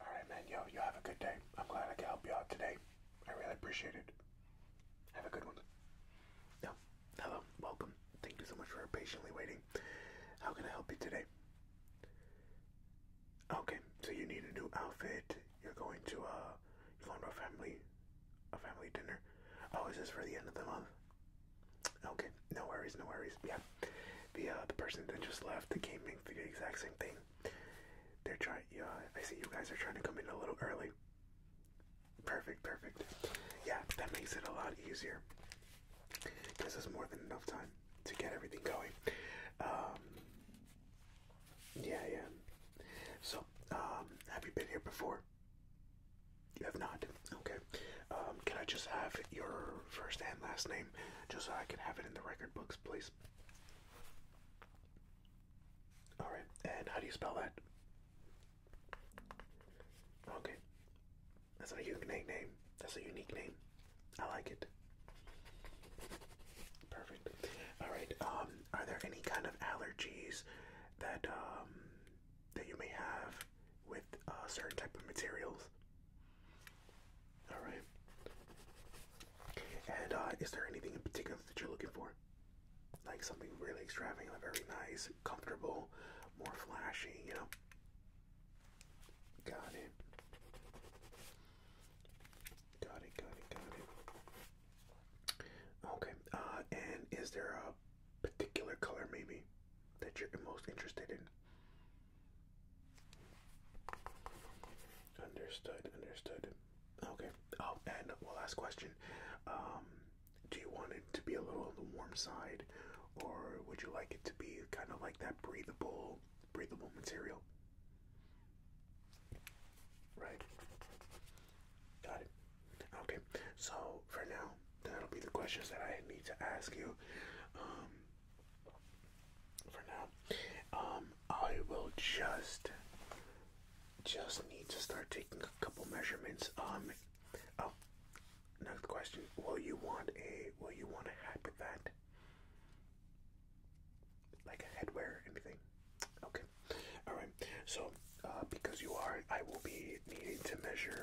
Alright, man, yo, you have a good day. I'm glad I could help you out today. I really appreciate it. Have a good one. Yeah. Hello. Welcome. Thank you so much for patiently waiting. How can I help you today? Okay, so you need a new outfit. You're going to uh you're a family a family dinner. Oh, is this for the end of the month? Okay, no worries, no worries. Yeah the uh, the person that just left the game makes the exact same thing. They're trying. Yeah, I see you guys are trying to come in a little early. Perfect, perfect. Yeah, that makes it a lot easier. Cause there's more than enough time to get everything going. Um, yeah, yeah. So, um, have you been here before? You have not. Okay. Um, can I just have your first and last name? just so I can have it in the record books, please. Alright, and how do you spell that? Okay. That's a unique name. That's a unique name. I like it. Perfect. Alright, um, are there any kind of allergies that um, that you may have with uh, certain type of materials? All right. And uh, is there anything in particular that you're looking for? Like something really extravagant, very nice, comfortable, more flashy, you know? Got it. Got it, got it, got it. Okay, uh, and is there a particular color maybe that you're most interested in? Understood, understood. Okay. Oh, and one last question. Um, do you want it to be a little on the warm side, or would you like it to be kind of like that breathable, breathable material? Right. Got it. Okay. So for now, that'll be the questions that I need to ask you. Um, for now. Um, I will just just need to start taking a couple measurements. Um, oh, another question: Will you want a Will you want a hat Like a headwear, anything? Okay. All right. So, uh, because you are, I will be needing to measure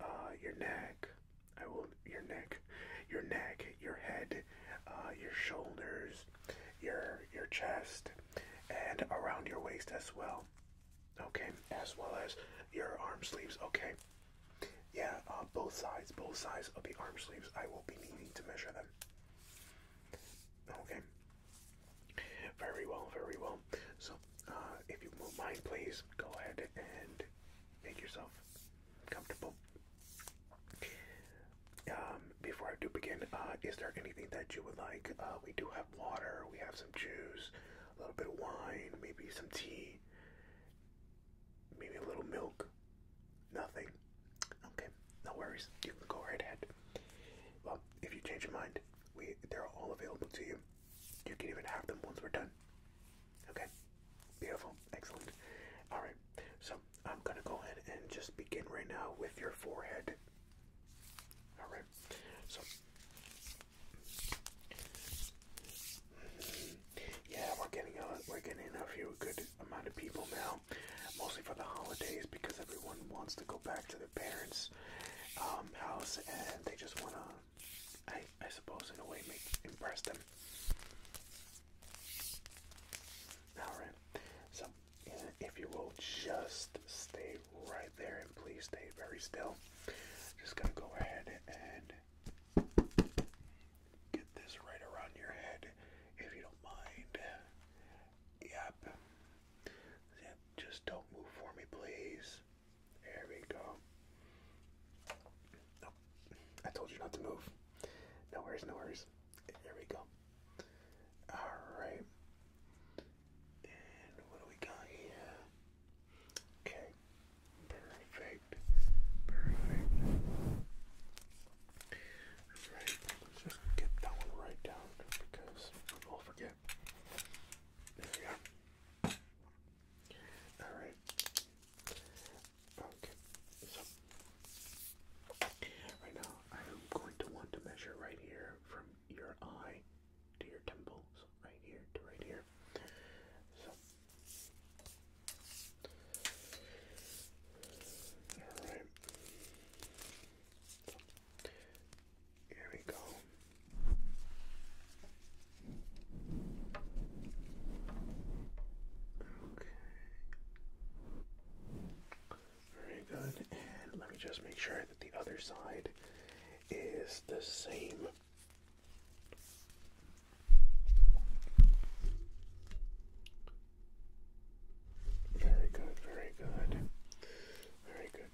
uh, your neck, I will your neck, your neck, your head, uh, your shoulders, your your chest, and around your waist as well. Okay, as well as your arm sleeves. Okay, yeah, uh, both sides, both sides of the arm sleeves. I will be needing to measure them. Okay. Very well, very well. So, uh, if you won't mind, please go ahead and Make yourself comfortable. Um, before I do begin, uh, is there anything that you would like? Uh, we do have water, we have some juice, a little bit of wine, maybe some tea, maybe a little milk. Nothing. Okay, no worries. You can go right ahead. Well, if you change your mind, we they're all available to you. You can even have them once we're done. Okay, beautiful, excellent. All right, so I'm gonna go ahead and just begin right now with your forehead. All right, so yeah, we're getting a we're getting a few good amount of people now, mostly for the holidays because everyone wants to go back to their parents' um, house and they just wanna I I suppose in a way make impress them. Alright. So if you will just stay right there and please stay very still. Just gonna go ahead and get this right around your head if you don't mind. Yep. Yep. Just don't move for me please. There we go. I told you not to move. No worries, no worries. There we go. Alright. And what do we got here? Okay. Perfect. Perfect. Alright, let's just get that one right down because we'll forget. There we are. Alright. Okay. So right now I am going to want to measure right here from your eye to your temples. Right here to right here. So Alright. Here we go. Okay. Very good. let me just make sure that the other side is the same. Very good, very good. Very good.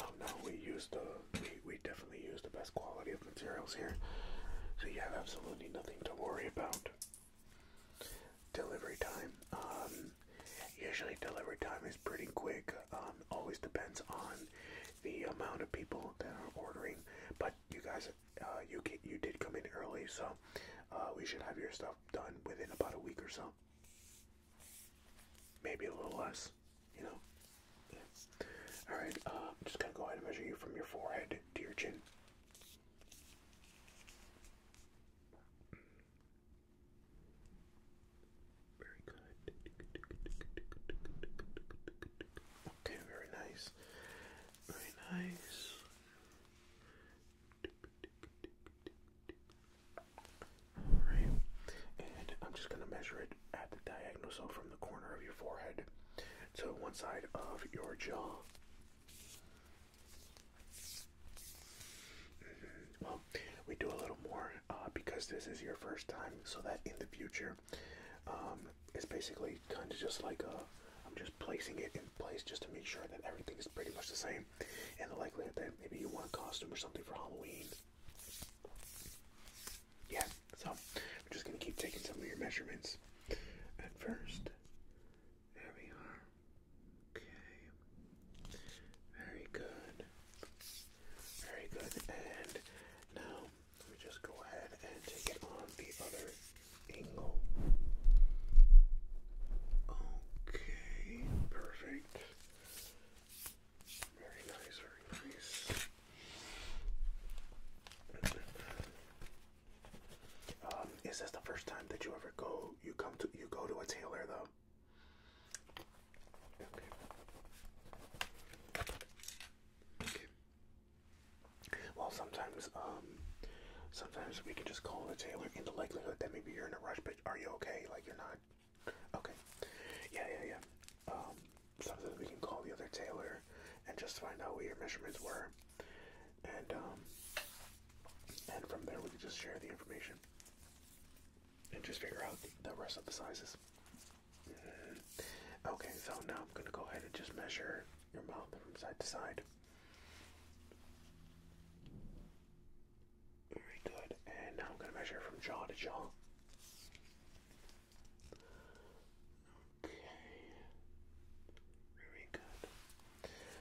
Oh, no, we use the we, we definitely use the best quality of materials here. So you have absolutely nothing to worry about. Delivery time. Um, usually delivery time is pretty quick. Um, always depends on the amount of people that are ordering. But you guys, uh, you you did come in early, so uh, we should have your stuff done within about a week or so. Maybe a little less, you know? Alright, uh, I'm just gonna go ahead and measure you from your forehead to your chin. Very good. Okay, very nice. Very nice. Alright, and I'm just going to measure it at the diagonal, so from the corner of your forehead to one side of your jaw. Mm-hmm. Well, we do a little more uh, because this is your first time, so that in the future, um, it's basically kind of just like a, I'm just placing it in place just to make sure that everything is pretty much the same. And the likelihood that maybe you want a costume or something for Halloween. Yeah, so we're just gonna keep taking some of your measurements. At first, there we are. Okay. Very good. Very good. And now let me just go ahead and take it on the other angle. Okay, perfect. Very nice, very nice. Um, is this the first time that you ever go? You come to you go to a tailor though. Well, sometimes um, Sometimes we can just call the tailor in the likelihood that maybe you're in a rush, but are you okay? Like you're not. Okay. Yeah, yeah, yeah. Um, sometimes we can call the other tailor and just find out what your measurements were, and um, and from there we can just share the information and just figure out the rest of the sizes. Mm-hmm. Okay, so now I'm gonna go ahead and just measure your mouth from side to side. Very good. And now I'm going to measure from jaw to jaw. Okay. Very good.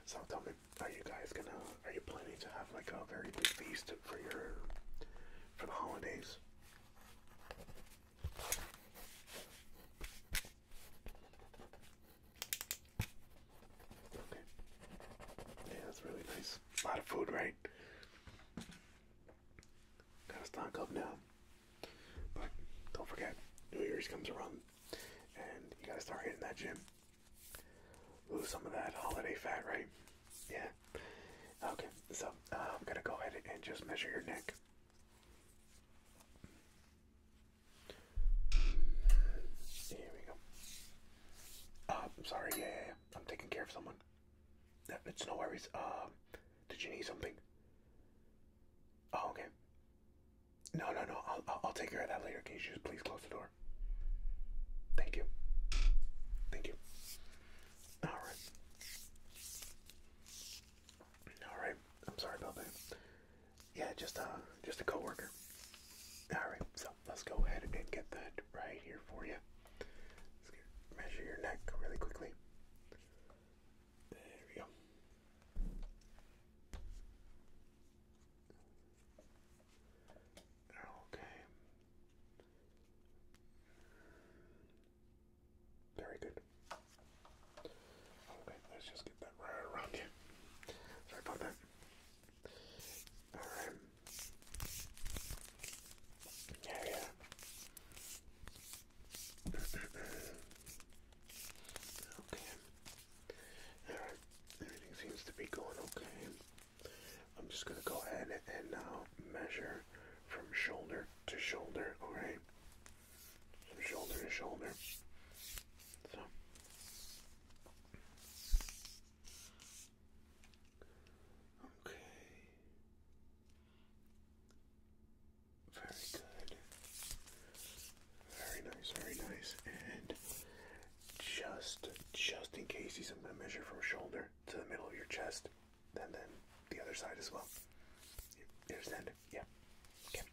So tell are you guys gonna? Are you planning to have like a very big feast for your for the holidays? Okay. Yeah, that's really nice. A lot of food, right? Gotta stock up now. But don't forget, New Year's comes around and you gotta start hitting that gym. Lose some of that holiday fat, right? Yeah. Okay, so I'm uh, gonna go ahead and just measure your neck. Here we go. Uh, I'm sorry. Yeah, I'm taking care of someone. It's no worries. Um, did you need something? Oh, okay. No, no, no. I'll, I'll take care of that later. Can you just please close the door? Thank you. Thank you. All right. All right. I'm sorry about that. Yeah, just a uh, just a coworker. All right, so let's go ahead and get that right here for you. measure your neck really quickly. There we go. Okay. Very good. Okay, let's just get that right around you. Sorry about that. Alright. Yeah, yeah. okay. Alright. Everything seems to be going okay. I'm just gonna go ahead and now uh, measure from shoulder to shoulder, alright? from shoulder to shoulder. okay. Very good. Very nice, very nice. And just just in case he's gonna measure from shoulder to the middle of your chest, and then the other side as well. You understand? Yeah. Okay.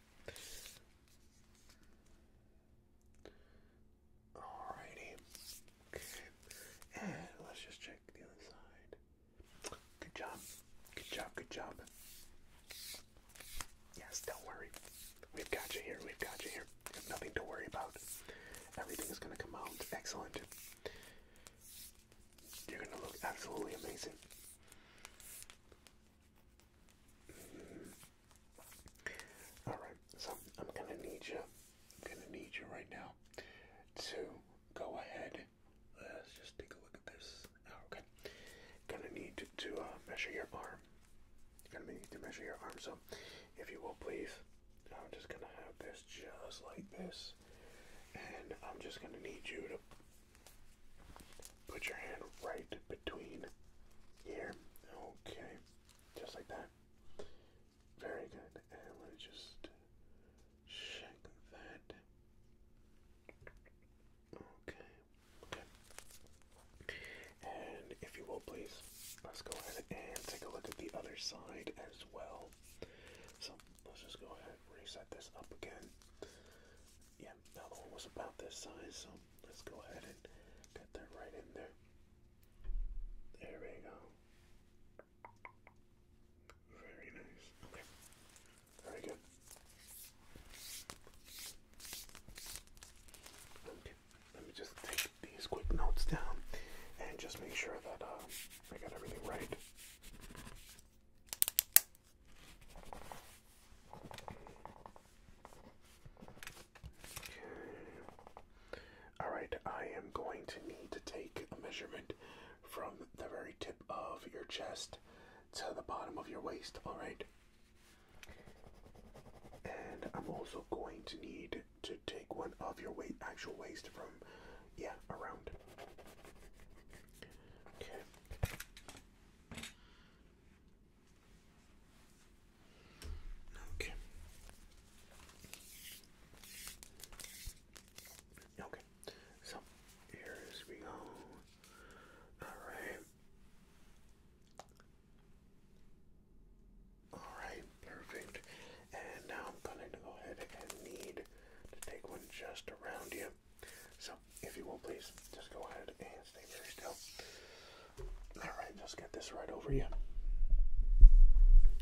Alrighty. Okay. And let's just check the other side. Good job. Good job. Good job. Yes, don't worry. We've got you here. We've got you here. nothing to worry about. Everything is going to come out excellent. You're going to look absolutely amazing. All right, so I'm gonna need you. gonna need you right now to go ahead. Let's just take a look at this. Oh, okay, gonna need to, to uh, measure your arm. Gonna need to measure your arm. So, if you will, please. I'm just gonna have this just like this, and I'm just gonna need you to Put your hand right between here. Okay. Just like that. Very good. And let me just check that. Okay. Okay. And if you will please, let's go ahead and take a look at the other side as well. So let's just go ahead and reset this up again. Yeah, that one was about this size, so let's go ahead and get that right in there. There we go. Very nice. Okay. Very good. Okay. Let me just take these quick notes down and just make sure that uh, I got everything right. Okay. Alright, I am going to need to take a measurement from the very tip of your chest to the bottom of your waist, alright? And I'm also going to need to take one of your weight actual waist from yeah, around. Okay. Okay. Okay. So here's we go. Alright. Alright, perfect. And now I'm going to go ahead and need to take one just around you. So, if you will, please just go ahead and stay very still. All right, just get this right over you.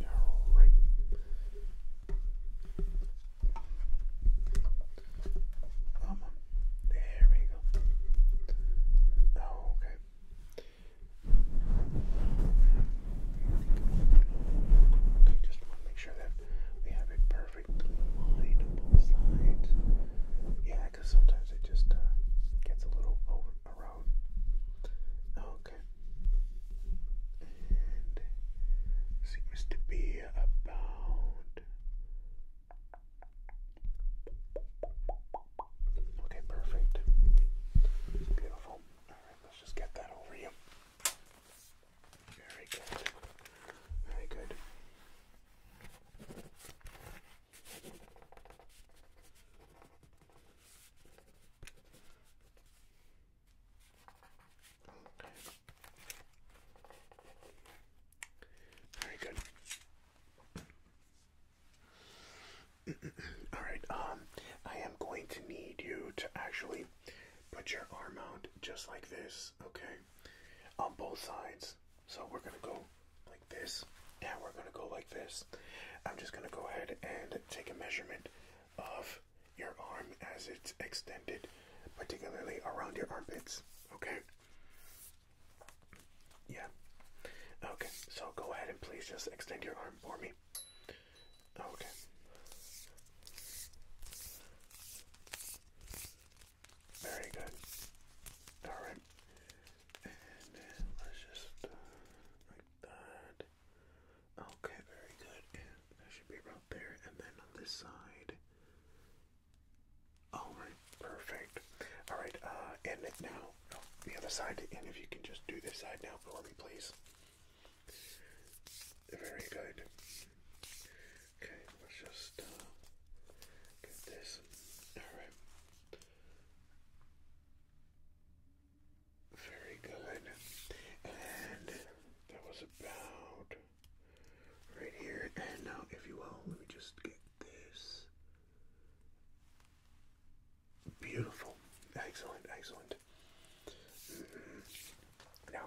All right. Um, there we go. Okay. I just want to make sure that we have it perfect perfect line sometimes it just uh, gets a little over around. Okay. seems to be about. Okay, perfect. Beautiful. Alright, let's just get that over you. Very good. Very good. Very good. All right. Um, I am going to need you to actually put your arm out just like this, okay? On both sides. So we're gonna go like this, and we're gonna go like this. I'm just gonna go ahead and take a measurement of your arm as it's extended, particularly around your armpits, okay? Yeah. Okay, so go ahead and please just extend your arm for me. Okay. Very good. Alright. And let's just uh, like that. Okay, very good. that should be right there. And then on this side. Alright, perfect. Alright, uh, and now. Oh, the other side. And if you can just do this side now for me, please. Very good. Okay, let's just uh, get this. Alright. Very good. And that was about right here. And now, if you will, let me just get this. Beautiful. Excellent, excellent. Now,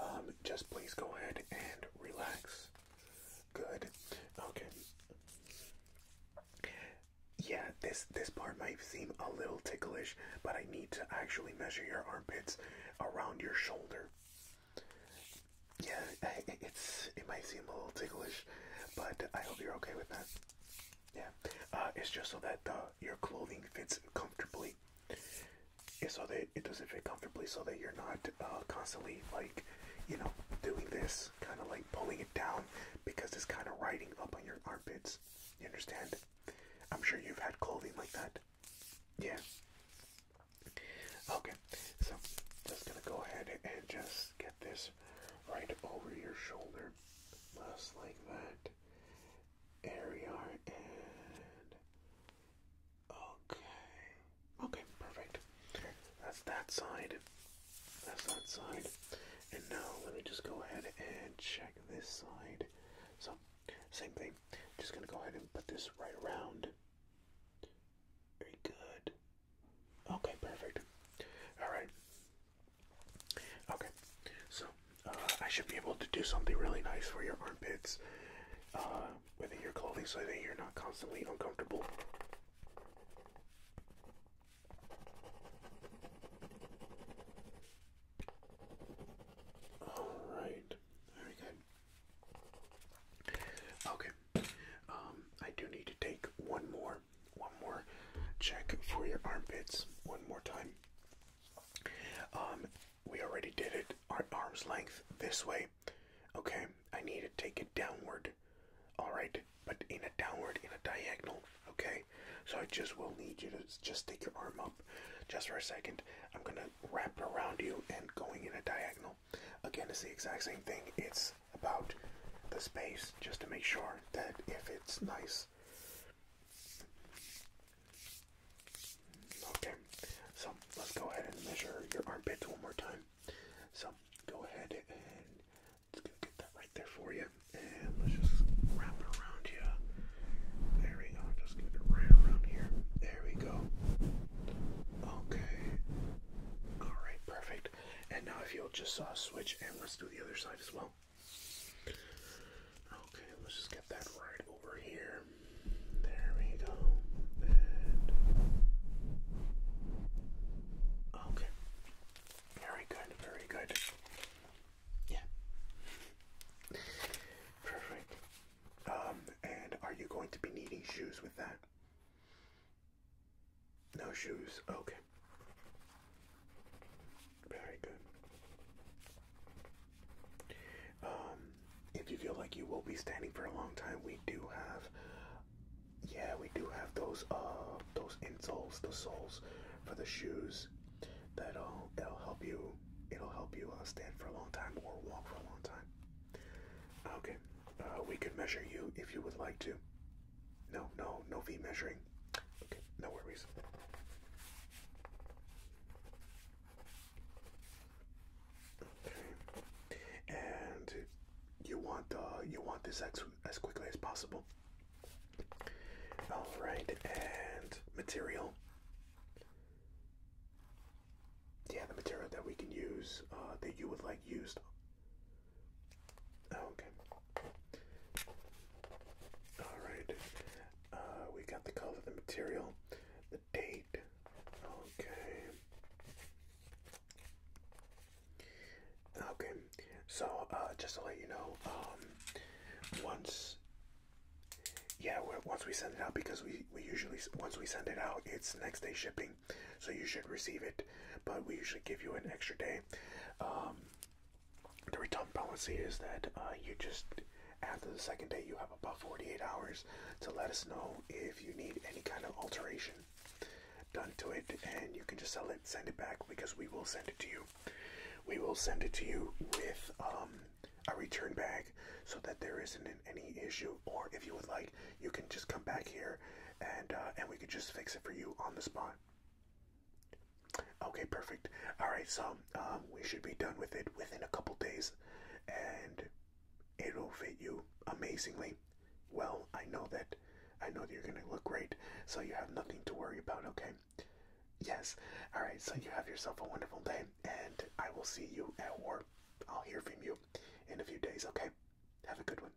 um, just please go ahead and relax. Good. Okay. Yeah, this this part might seem a little ticklish, but I need to actually measure your armpits around your shoulder. Yeah, it's it might seem a little ticklish, but I hope you're okay with that. Yeah, uh, it's just so that uh, your clothing fits comfortably. It's so that it doesn't fit comfortably, so that you're not uh, constantly like, you know, doing this kind of like pulling it down because it's kind of riding up on your armpits. You understand? I'm sure you've had clothing like that. Yeah. Okay, so just gonna go ahead and just get this right over your shoulder, just like that area and okay okay perfect that's that side that's that side and now let me just go ahead and check this side so same thing just gonna go ahead and put this right around very good okay perfect all right Okay, so uh, I should be able to do something really nice for your armpits uh, within your clothing so that you're not constantly uncomfortable. Alright, very good. Okay, um, I do need to take one more one more check for your armpits. One more time. Um, we already did it at arm's length this way. Okay, I need to take it downward. All right, but in a downward, in a diagonal. Okay, so I just will need you to just stick your arm up, just for a second. I'm gonna wrap it around you and going in a diagonal. Again, it's the exact same thing. It's about the space just to make sure that if it's nice Okay, so let's go ahead and measure your armpits one more time. So go ahead and get that right there for you. And let's just wrap around you. There we go. Just get it right around here. There we go. Okay. Alright, perfect. And now if you'll just uh, switch and let's do the other side as well. Okay, let's just get that right over here. There we go. okay. Very good, very good. Yeah. Perfect. Um, and are you going to be needing shoes with that? No shoes. Okay. Very good. Um, if you feel like you will be standing for a long time, we do have, yeah, we do have those uh those insoles, the soles for the shoes. That'll uh, it'll help you. It'll help you uh, stand for a long time or walk for a long time. Okay. Uh, we could measure you if you would like to. No, no, no V measuring. Okay, no worries. Okay, and you want uh, you want this as as quickly as possible. All right, and material. Yeah, the material that we can use uh, that you would like used Oh, okay. Alright. Uh, we got the color the material, the date. Okay. Okay. So, uh, just to let you know, um, once, yeah, once we send it out, because we, we usually, once we send it out, it's next day shipping, so you should receive it, but we usually give you an extra day. Um, the return policy is that uh, you just after the second day you have about 48 hours to let us know if you need any kind of alteration done to it and you can just sell it send it back because we will send it to you we will send it to you with um, a return bag so that there isn't any issue or if you would like you can just come back here and uh, and we can just fix it for you on the spot Okay, perfect. All right, so um, we should be done with it within a couple days, and it'll fit you amazingly. Well, I know that. I know that you're gonna look great, so you have nothing to worry about. Okay. Yes. All right. So you have yourself a wonderful day, and I will see you at work. I'll hear from you in a few days. Okay. Have a good one.